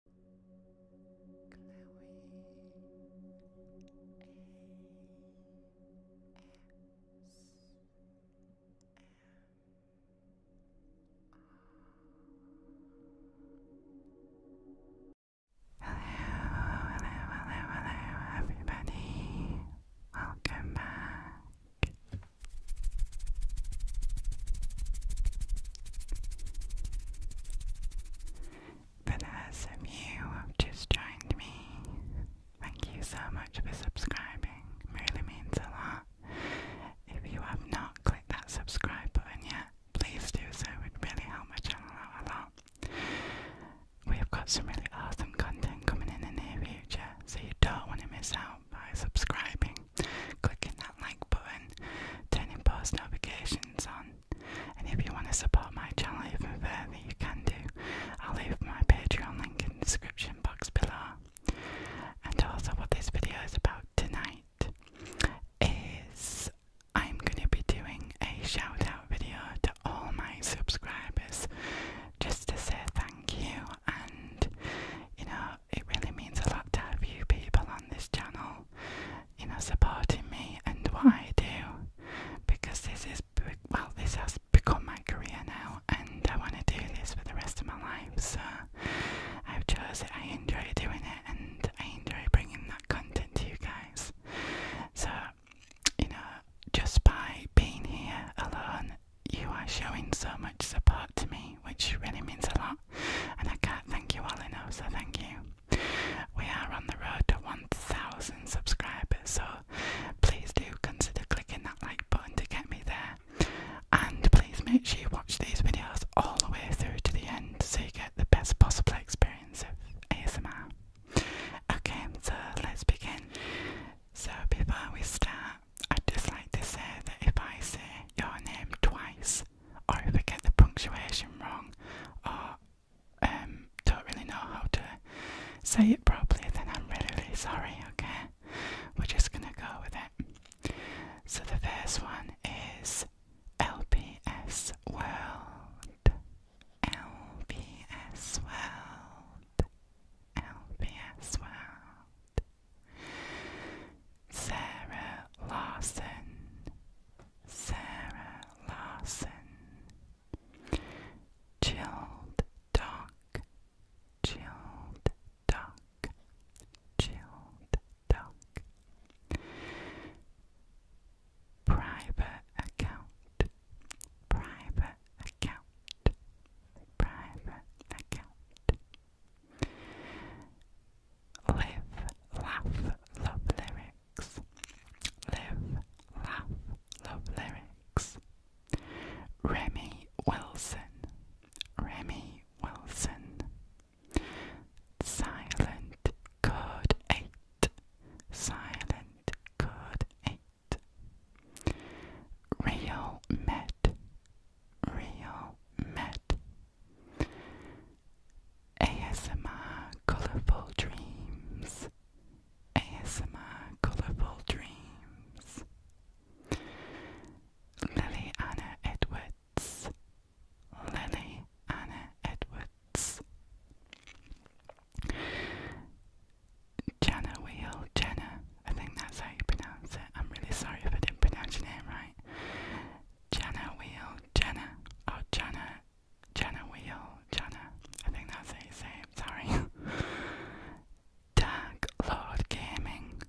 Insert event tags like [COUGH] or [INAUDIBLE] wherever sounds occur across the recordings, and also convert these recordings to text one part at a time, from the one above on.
hello, everybody. Welcome back. For those of you who have just joined me, thank you so much for subscribing. It really means a lot. If you have not clicked that subscribe button yet, please do so. It really helps out a lot. We have got some really awesome content coming in the near future, so you don't want to miss out by subscribing clicking that like button, turning post notifications on. And if you want to support my channel even further, you can do. I'll leave my Patreon link in the description box below. And also, what this video is about tonight is I'm going to be doing a shout out video to all my subscribers just to say thank you. And you know, it really means a lot to have you people on this channel you know, supporting me and why I do because this is well, this has become my career now, and I want to do this for the rest of my life. So I've chosen it. I enjoy doing it, and I enjoy bringing that content to you guys. So you know, just by being here alone, you are showing so much support to me, which really means a lot. And I can't thank you all enough, so thank you. We are on the road to 1,000 subscribers, so please do consider clicking that like button to get me there. And please make sure you watch these videos all the way through to the end so you get the best possible experience of ASMR. Okay, so let's begin. So before we start, i just like to say that if I say your name twice, or if I get the punctuation wrong, or um, don't really know how to say it properly, then I'm really, really sorry, okay? We're just gonna go with it. So the first one is LPS World. LPS World. LPS World. Sarah Larson, Sarah Larson, Chilled Duck, Chilled Duck, Chilled Duck, Private Account, Private Account, Private Account. Live, laugh, love lyrics. Live, laugh, love lyrics. Remy Wilson. Remy Wilson. Silent Code 8. Silent Code 8. Real Met. Real Met. ASMR Colorful Dreams. ASMR Colorful Dreams. Lily Anna Edwards. Lily Anna Edwards. Jenna Wheel. Jenna, I think that's how you pronounce it. I'm really sorry if I didn't pronounce your name right. Jana Wheel, Jana, oh Jana, Jana Wheel, Jana. I think that's how you say it, sorry. [LAUGHS] Dark Lord Gaming,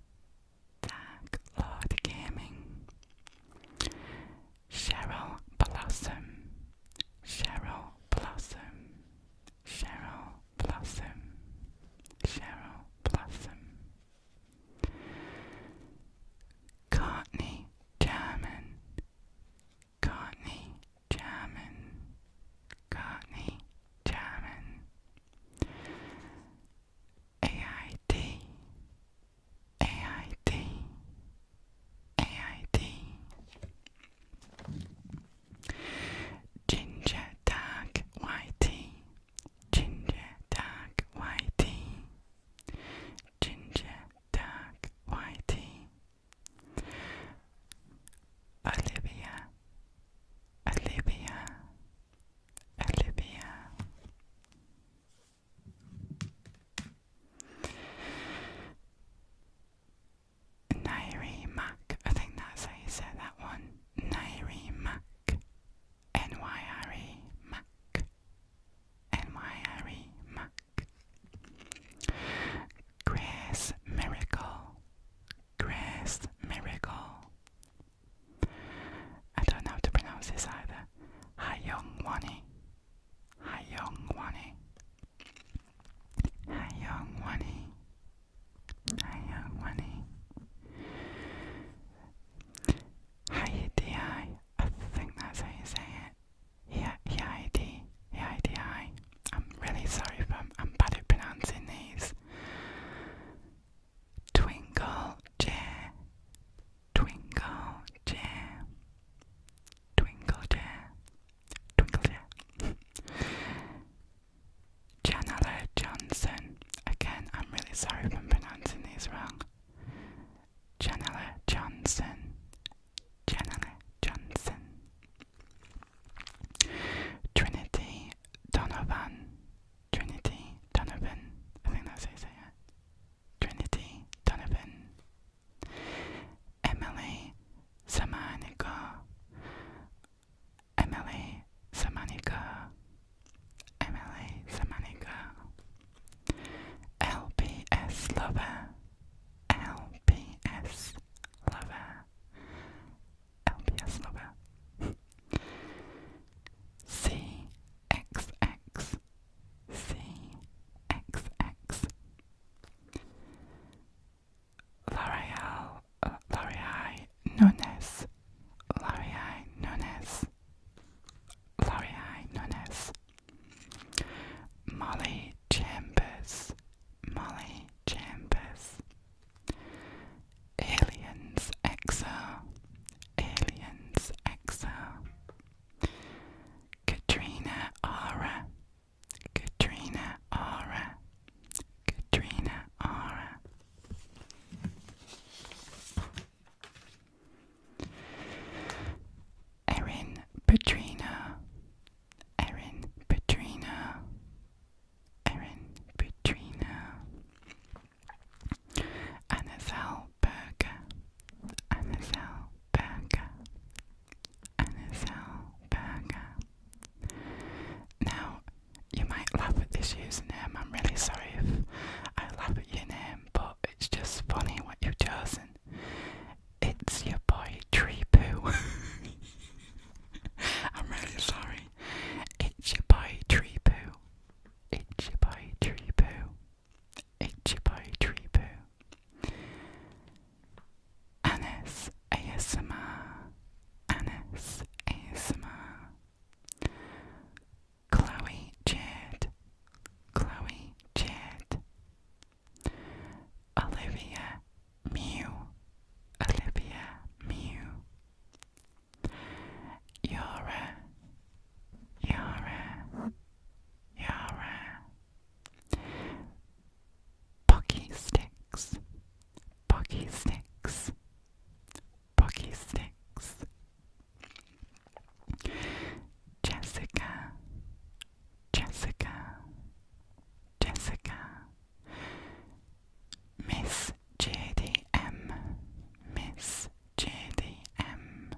Dark Lord Gaming. Cheryl Blossom, Cheryl Blossom, Cheryl Blossom, Cheryl Blossom. Courtney German, Courtney German, Courtney German, AID, AID, AID, Ginger Dark Whitey, Ginger Dark Whitey. Ginger Dark Whitey, Olivia, Olivia, Olivia. Nairi Mac, I think that's how you say that one. Nairi Mac, N Y R E Mac, and my Harry Mack. Grace Miracle, Grace Miracle. I don't know how to pronounce this either. Hayoung Wani, Hayoung Wani, Hayoung Wani, Hayoung Wani. Hi, I think that's how you say it. Yeah, EID, EIDI. I'm really sorry if I'm, I'm bad at pronouncing these. Twinkle chair, twinkle chair, twinkle chair, twinkle chair. Janella [LAUGHS] Johnson. Again, I'm really sorry if I'm pronouncing these wrong. Janella Johnson. Janella Johnson. Trinity Donovan. Trinity Donovan. I think that's how say it. Trinity Donovan. Emily Samanika. Emily Samanika. Emily Samanika, LPS Lover, LPS Lover, LPS Lover, CXX, CXX, L'Oreal, uh, L'Oreal Nunes, L'Oreal Nunes. L'Oreal known as Molly Chambers, Molly Chambers, Aliens Exo, Aliens Exo, Katrina Aura, Katrina Aura, Katrina Aura. Erin Petrina, Erin Petrina, Erin Petrina, Anazal Berger, Anazal Berger, Anazal Berger. Now, you might laugh at this username. I'm really sorry if I laugh at your name but it's just funny what you are chosen. It's your boy Tree [LAUGHS] I'm really sorry. It's your boy Tree It's your boy Tree It's your boy Tree Poo. Anis ASMR. Anis ASMR. Chloe Jade, Chloe Jade, Olivia Mew, Olivia Mew, Yara, Yara, Yara, Pocky Sticks, Pocky Sticks, Pocky Sticks. Jessica, Jessica, Jessica, Miss JDM, Miss JDM,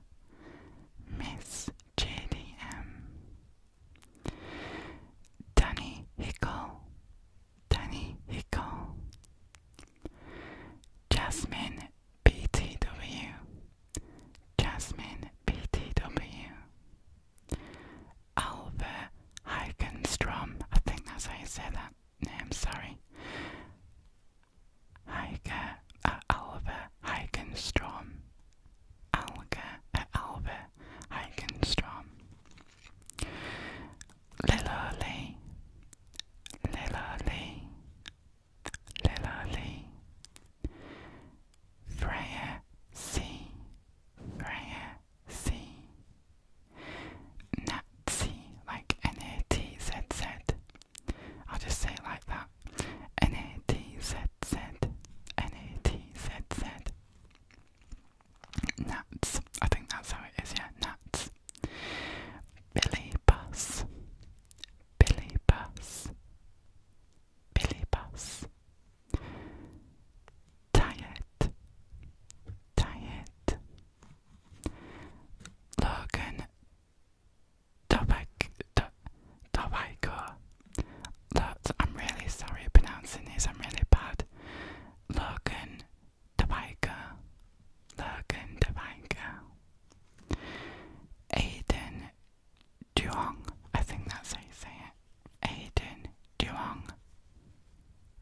Miss JDM, Danny Hickle, Danny Hickle, Jasmine BTW, Jasmine BTW, Alva Heikenstrom, I think that's how you say that name, sorry. Heike, uh, Alva Heikenstrom, Alva uh, Heikenstrom, Liloli, Liloli, Lilla Lee, Freya C, Freya C, Natsy, like N A T Z Z. I'll just say like that. N A T Z Z, N A T Z Z. Nats, I think that's how it is, yeah, Nats. Billy Bus, Billy Bus, Billy Bus, Diet, Diet, Logan, Tobacco. Look, I'm really sorry pronouncing these, I'm really bad. Logan, Tobacco, Logan, Tobacco. Aiden Duong. I think that's how you say it. Aiden Duong.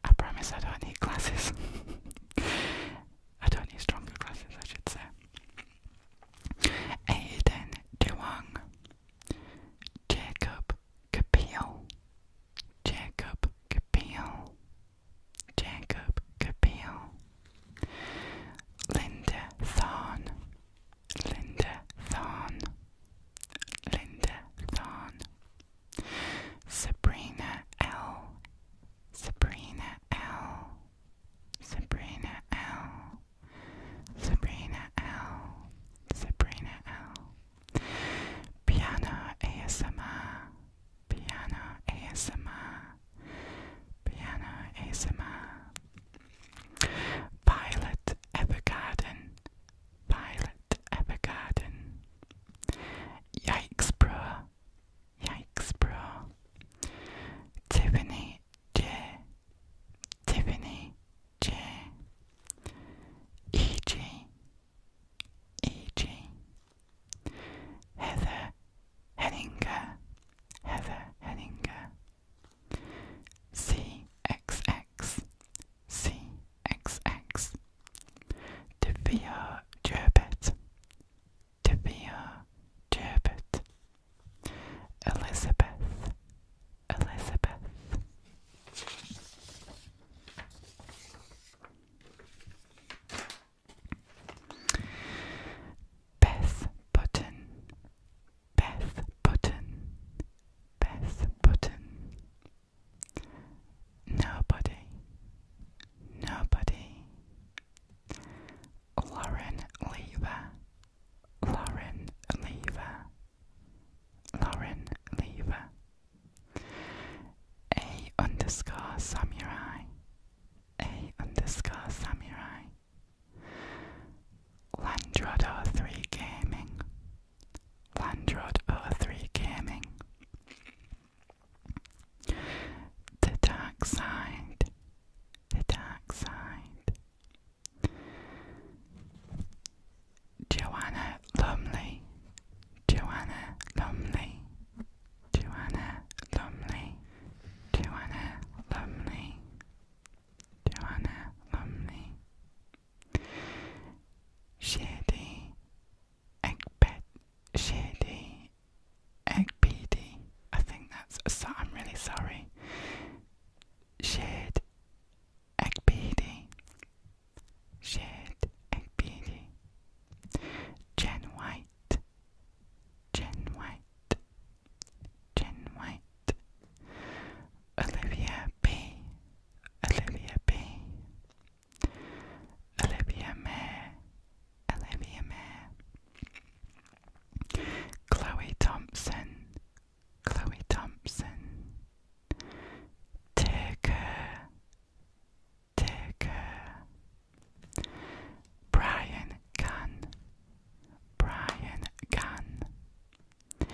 I promise I don't need glasses. [LAUGHS] I don't need stronger glasses, I should say. Aiden Duong. Jacob Capil. Jacob Capil. Jacob Capil. Linda Thorn, Linda Thorn, Linda Thorn, Sabrina L, Sabrina L, Sabrina L, Sabrina L, Sabrina L, Piano ASMR, Piano ASMR. Piano ASMR. Violet Evergarden. Violet Evergarden. Yikes, bro. Yikes, bro. Tiffany J. Tiffany J. E.G. E.G. Heather Henninger, Heather Henninger, CXX, CXX, Devia Gerbet, Devia Gerbet, Elizabeth, Elizabeth. Beth Button, Beth Button, Beth Button. Nobody, nobody. Lauren Lever, Lauren Lever, Lauren Lever. A underscore samurai, A underscore samurai. Landrod 3 Gaming. Landrod 3 Gaming. The Dark Side. The Dark Side. Joanna Lumley. Joanna Lumley. Joanna Lumley. Joanna Lumley. Joanna Lumley, Shady Egbet, Shady Egbedi. I think that's. So, I'm really sorry. Shade Egbedi, Shade Egbedi, Jen White. Jen White, Jen White, Olivia B, Olivia B, Olivia M, Olivia M, Chloe Thompson, Chloe Thompson, Tigger, Tigger, Brian Gunn, Brian Gunn.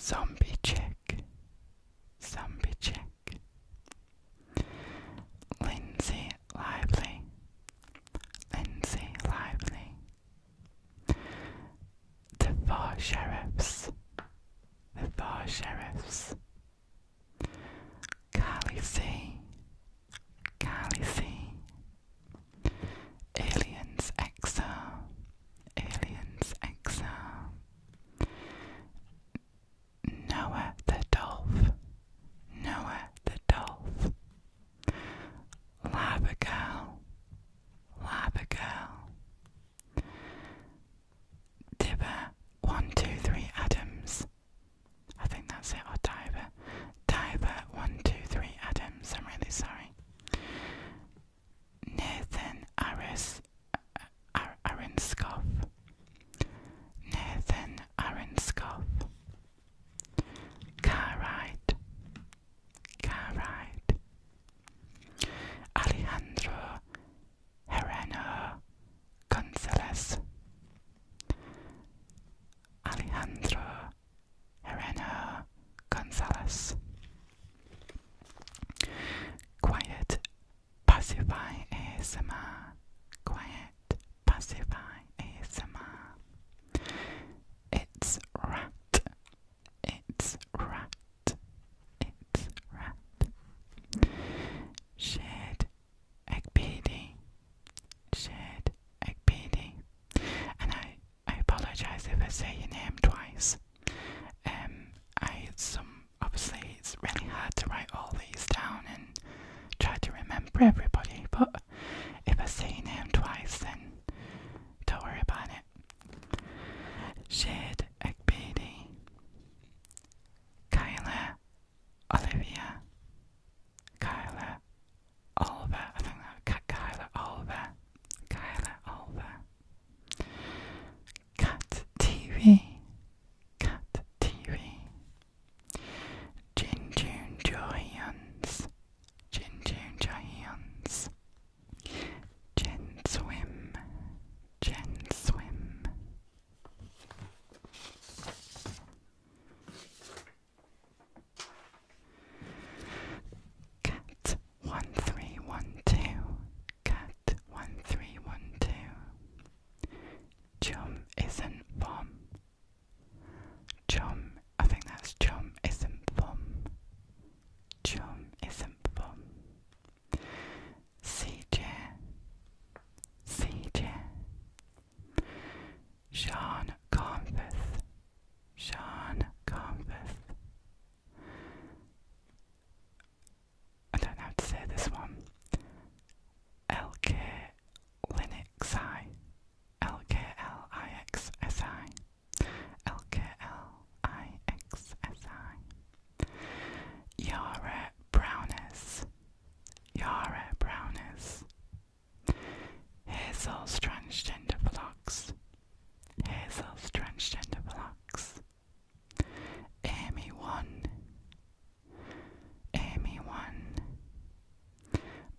Zombie Chick. Zombie Chick. Lindsay Lively. Lindsay Lively. The Four Sheriffs. The Four Sheriffs. Carly C. Carly C. Aliens Exa, Aliens Exa, Noah the Dolph, Noah the Dolf, Lava Girl, Lava Girl, 123 Adams. I think that's it, or Diver Tyler123 Adams, I'm really sorry. Nathan Aris, uh, uh Arinskoff. Nathan Arinskoff. Carride. Carride. Alejandro Herreno Gonzalez. Alejandro Helena Gonzalez. Quiet Pacify ASMR. Quiet Pacify ASMR. It's rat. It's rat. It's rat. Shared Egg PD. Shit, Ekpedi. And I, I apologize if I say your name twice. Um, I some obviously it's really hard to write all these down and try to remember everybody. But if I say your name twice, then don't worry about it. Shade Ekpedi, Kyla, Olivia, Kyla Oliver. I think that Kyla Oliver. Kyla Oliver. Cat TV. Cat TV. Jinjun Johyuns. Jinjun Johyuns. Jen Swim. Jen Swim. Cat one three one two. Cat one three one two. Chum isn't bomb. Chum, I think that's chum isn't bomb. Chum isn't bomb. CJ, CJ, Sean Confith, Sean Confith. I don't know how to say this one. LK Linuxi, LKLIXSI, Yara Brownis, Yara Brownis. Hazel's transgender blocks. Hazel's transgender blocks. Amy one. Amy one.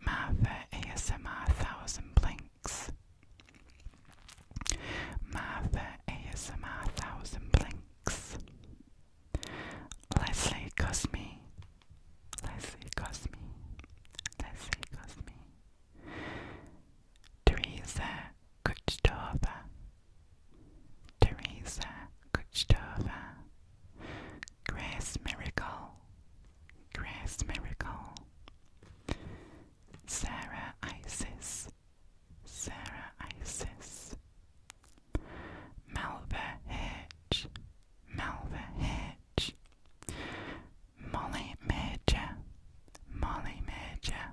Martha ASMR thousand blinks. Martha ASMR thousand blinks. Leslie Cosme. Leslie us see, Cosme. let Cosme. Teresa Kuchtova. Teresa Kuchtova. Grace Miracle. Grace Miracle. Sarah Isis. Sarah Isis. Malva Hedge. Malva Hedge. Molly Major, Molly Major.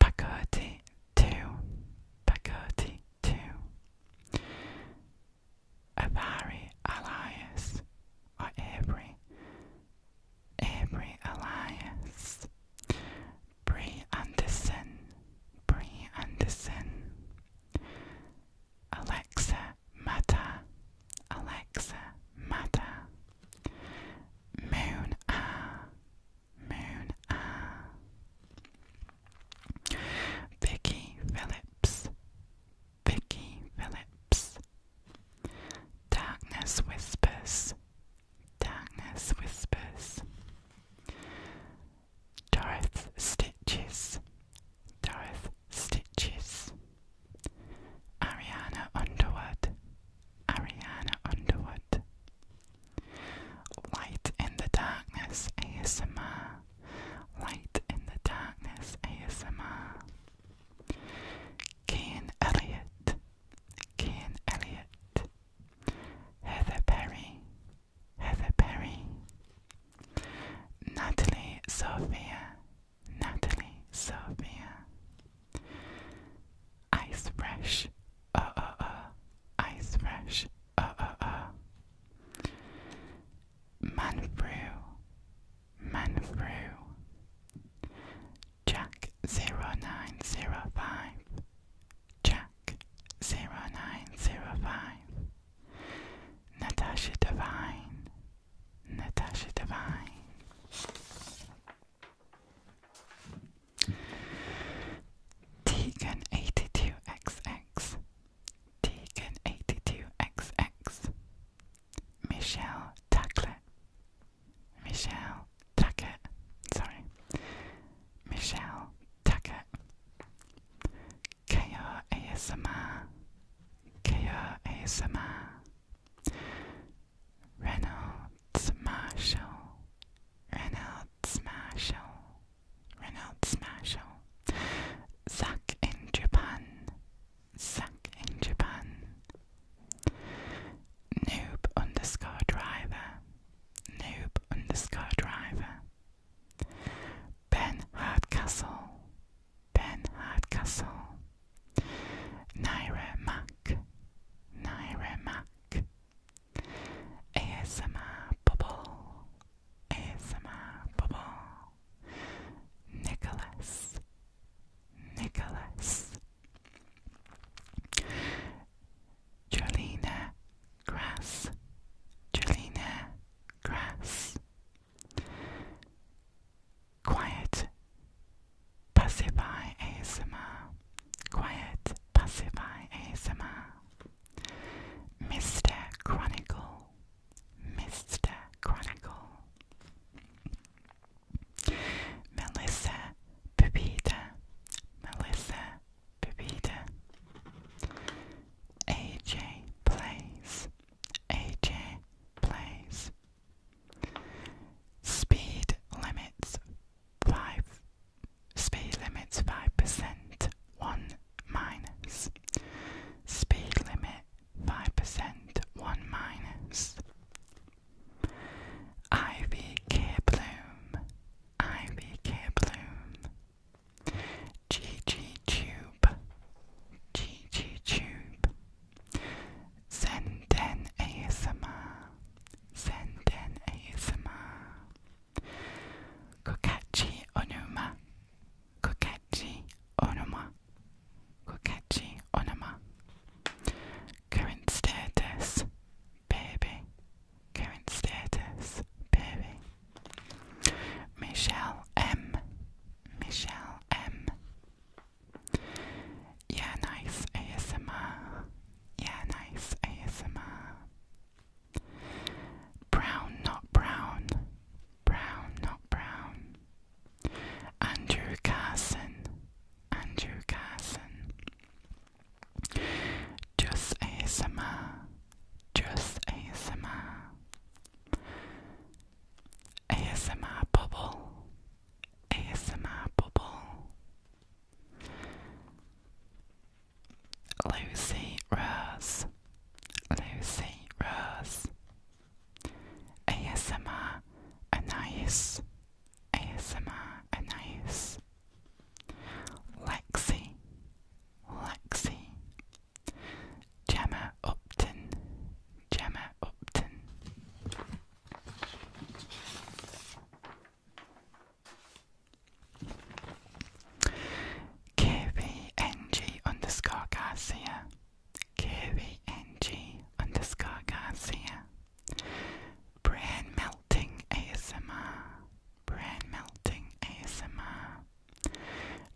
Pagoti 2, Pagoti 2. Avari Elias, or Avery, Avery Elias. Bree Anderson, Bree Anderson. Alexa, mata. Alexa, mata. Moon, ah. Moon, ah. Vicky Phillips. Vicky Phillips. Darkness whispers. Darkness whispers. Dorothy Stitches. Dorothy stitches. Ariana Underwood. Ariana Underwood. Light in the Darkness ASMR. Light in the Darkness ASMR. Kane Elliott. Kane Elliott. Heather Perry. Heather Perry. Natalie Sophia, Natalie Sophia, Ice Fresh, uh uh uh, Ice Fresh, uh uh uh, Manfrew, Manfrew, Jack 0905, Jack 0905. Natasha Divine, Natasha Divine, Tegan82XX, Tegan82XX, Michelle Tuckett, Michelle Tuckett, sorry, Michelle Tuckett. Kaya ASMR, Kaya ASMR, Reynolds Marshall, Reynolds Marshall, Reynolds Marshall, Zack in Japan, Zack in Japan, Noob underscore driver, Noob underscore driver. Ben Hardcastle, Ben Hardcastle, Naira Mac, Naira Mac, Asma Bubble, Asma Bubble, Nicholas, Nicholas, Jolina Grass, Jolina Grass. Quiet Passerby ASMR. Quiet Passerby ASMR. Mr. Chronicle. Mr. Chronicle. Melissa Pupita. Melissa Pupita. AJ Plays. AJ plays. Speed limits five. Speed limits five percent. One minus. Speed limit five percent. One minus. Ivy Bloom. Ivy Bloom. G G Tube, G Tube, Zenden ASMR, Zenden ASMR, Kokachi Onuma, Kokachi Onuma, Kokachi Onuma, Current Status, Baby, Current Status, Baby. Michelle M. Michelle M. Yeah, nice ASMR. Yeah, nice ASMR. Brown, not brown. Brown, not brown. Andrew Carson. Andrew Carson. Just ASMR. Just ASMR. ASMR bubble, ASMR bubble. Lucy Rose, Lucy Rose. ASMR Anais, ASMR Anais. Lexi, Lexi, Gemma Upton, Gemma Upton. KVNG underscore Garcia, KVNG underscore Garcia. Brain melting ASMR, brain melting ASMR,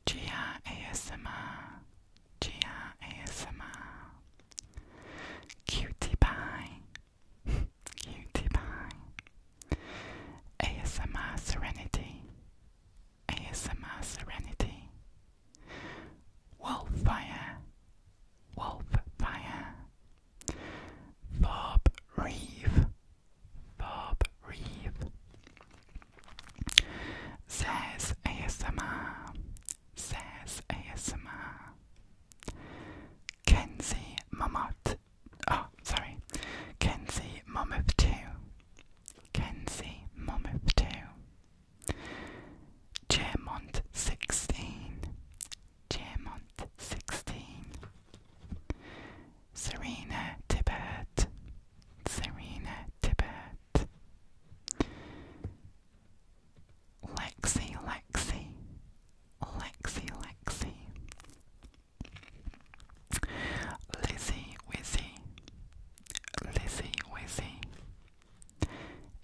GR ASMR, Gia Cutie Pie, [LAUGHS] Cutie Pie, ASMR Serenity, ASMR Serenity, Wolffire, Wolffire, Bob Reeve, Bob Reeve, Says ASMR, says ASMR. Kenzi Momot, oh sorry, Kenzi Momoth 2, Kenzi Momoth 2, Jermont 16, Jermont 16, Serena Tibbert, Serena Tibbert. Lexi, Lexi, Lexi, Lexi, Lizzie, Wizzy, Lizzie, Wizzy,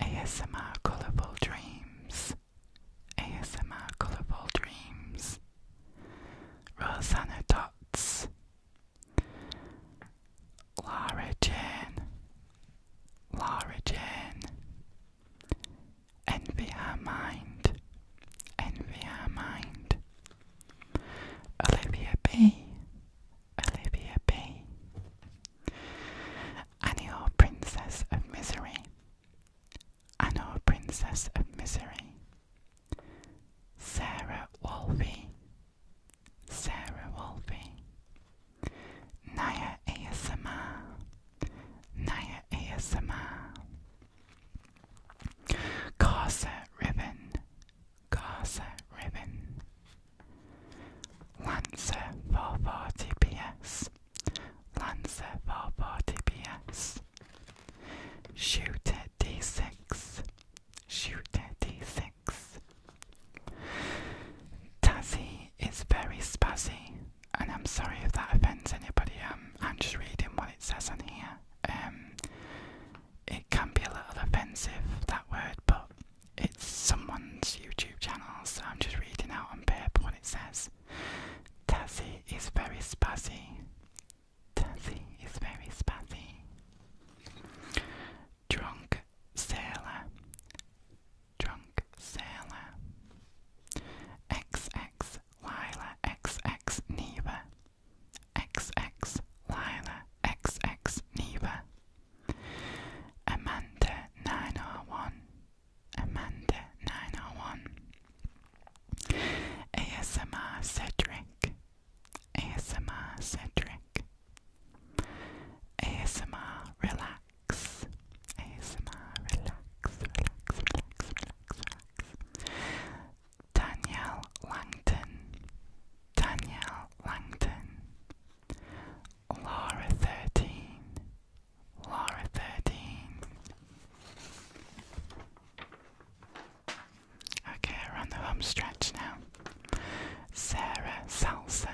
ASMR Colourful Dreams, ASMR Colourful Dreams, Rosanna Dots, Lara Jane, Lara Jane, envy her mind, envy her mind. Olivia B, Olivia B, Annie Princess of Misery, Annie Princess of Misery. Sarah Wolvey, Sarah Wolfie, Naya ASMR, Naya ASMR, Corset Ribbon, Corset Ribbon, Lancer 440PS, Lancer 440PS, it d6. Shoot d6. Tazzy is very spazzy, and I'm sorry if that offends anybody. Um, I'm just reading what it says on here. Um, it can be a little offensive that word, but it's someone's YouTube channel, so I'm just reading out on paper what it says. Tazzy is very spazzy. Tazzy is very spazzy drunk sailor, drunk sailor, XX Lila, XX Neva, XX Lila, XX Neva, Amanda 901, Amanda 901, ASMR Cedric. ASMR centric. ASMR Relax, ASMR Relax, Relax, Relax, Relax, Relax, Danielle Langton, Danielle Langton, Laura Thirteen, Laura Thirteen. Okay, we're on the home stretch now. Sarah Salsa,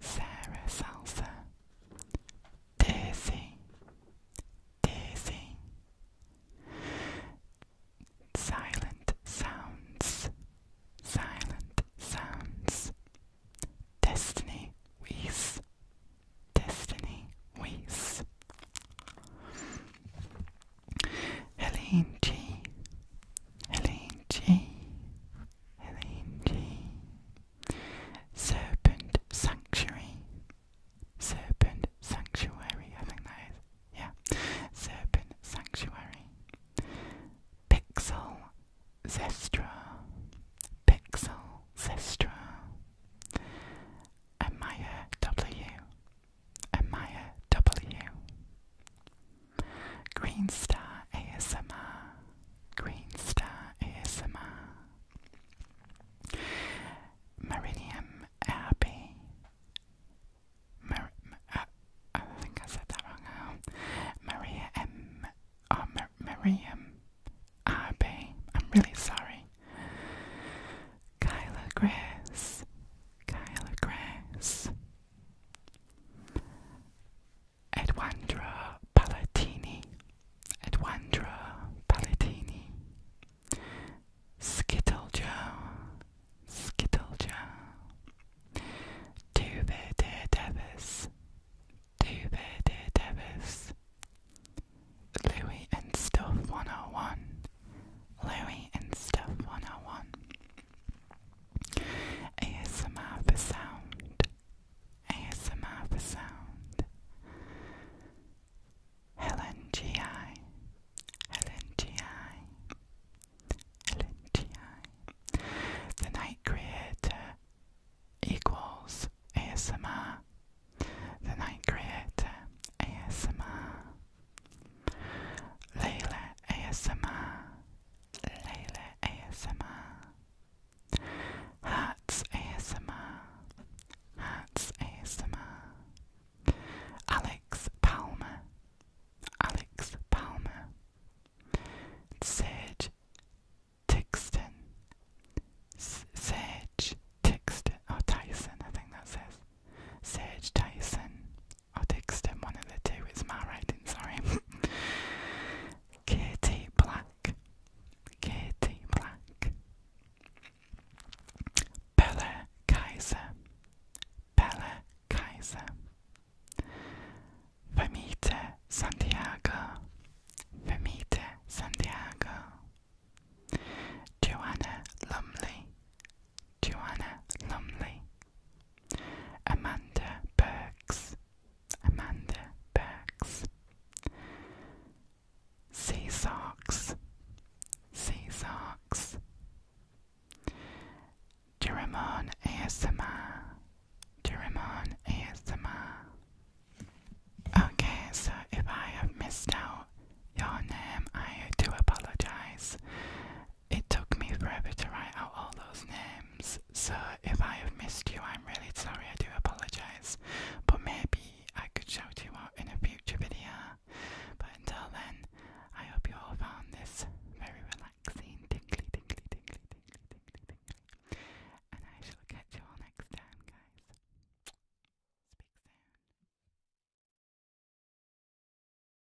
Sarah Salsa, Daisy, Daisy, Silent Sounds, Silent Sounds, Destiny Weiss, Destiny Weiss. Helene G. Helene G. Helene G. Serpent Sanctuary. Serpent Sanctuary, I think Yeah. Serpent Sanctuary. Pixel Zestra. Pixel Zestra. Amaya W. Amaya W. Green Star ASMR. Green Star ASMR. Meridium RB. Mer uh, I think I said that wrong. Oh. Maria M. Oh, Mer RB. I'm really sorry. Kyla Grace. Kyla Grace. Edwandra Palatini, Edwandra Palatini, Skittle Joe, Skittle Joe, Duvede Davis, Duvede Davis, Louis and Stuff 101, Louis and Stuff 101. ASMR for sound. ASMR for sound. Helen The Night Creator equals ASMR. The Night Creator ASMR. Layla ASMR, Layla ASMR, Hats ASMR, Hats ASMR, Alex Palmer, Alex Palmer, Sage Tixton, S Sage Tixton, oh Tyson, I think that says. Sage Tyson, or Dixon, one of the two, is my writing, sorry. [LAUGHS] Katie Black, Katie Black, Bella Kaiser, Bella Kaiser, Famita Santiago, Famita Santiago, Joanna Lumley, Joanna Lumley, Amanda Burks, Amanda Burks, Sea Socks, Sea Sarks, Jeremon ASMR, Jeremon ASMR. Okay, so if I have missed out your name, I do apologize. It took me forever to write out all those names, so if I have missed you, I'm really sorry, I do apologise. But maybe I could shout you out in a future video. But until then, I hope you all found this very relaxing, tingly, tingly, tingly, tingly, tingly, tingly. And I shall catch you all next time, guys. Speak soon.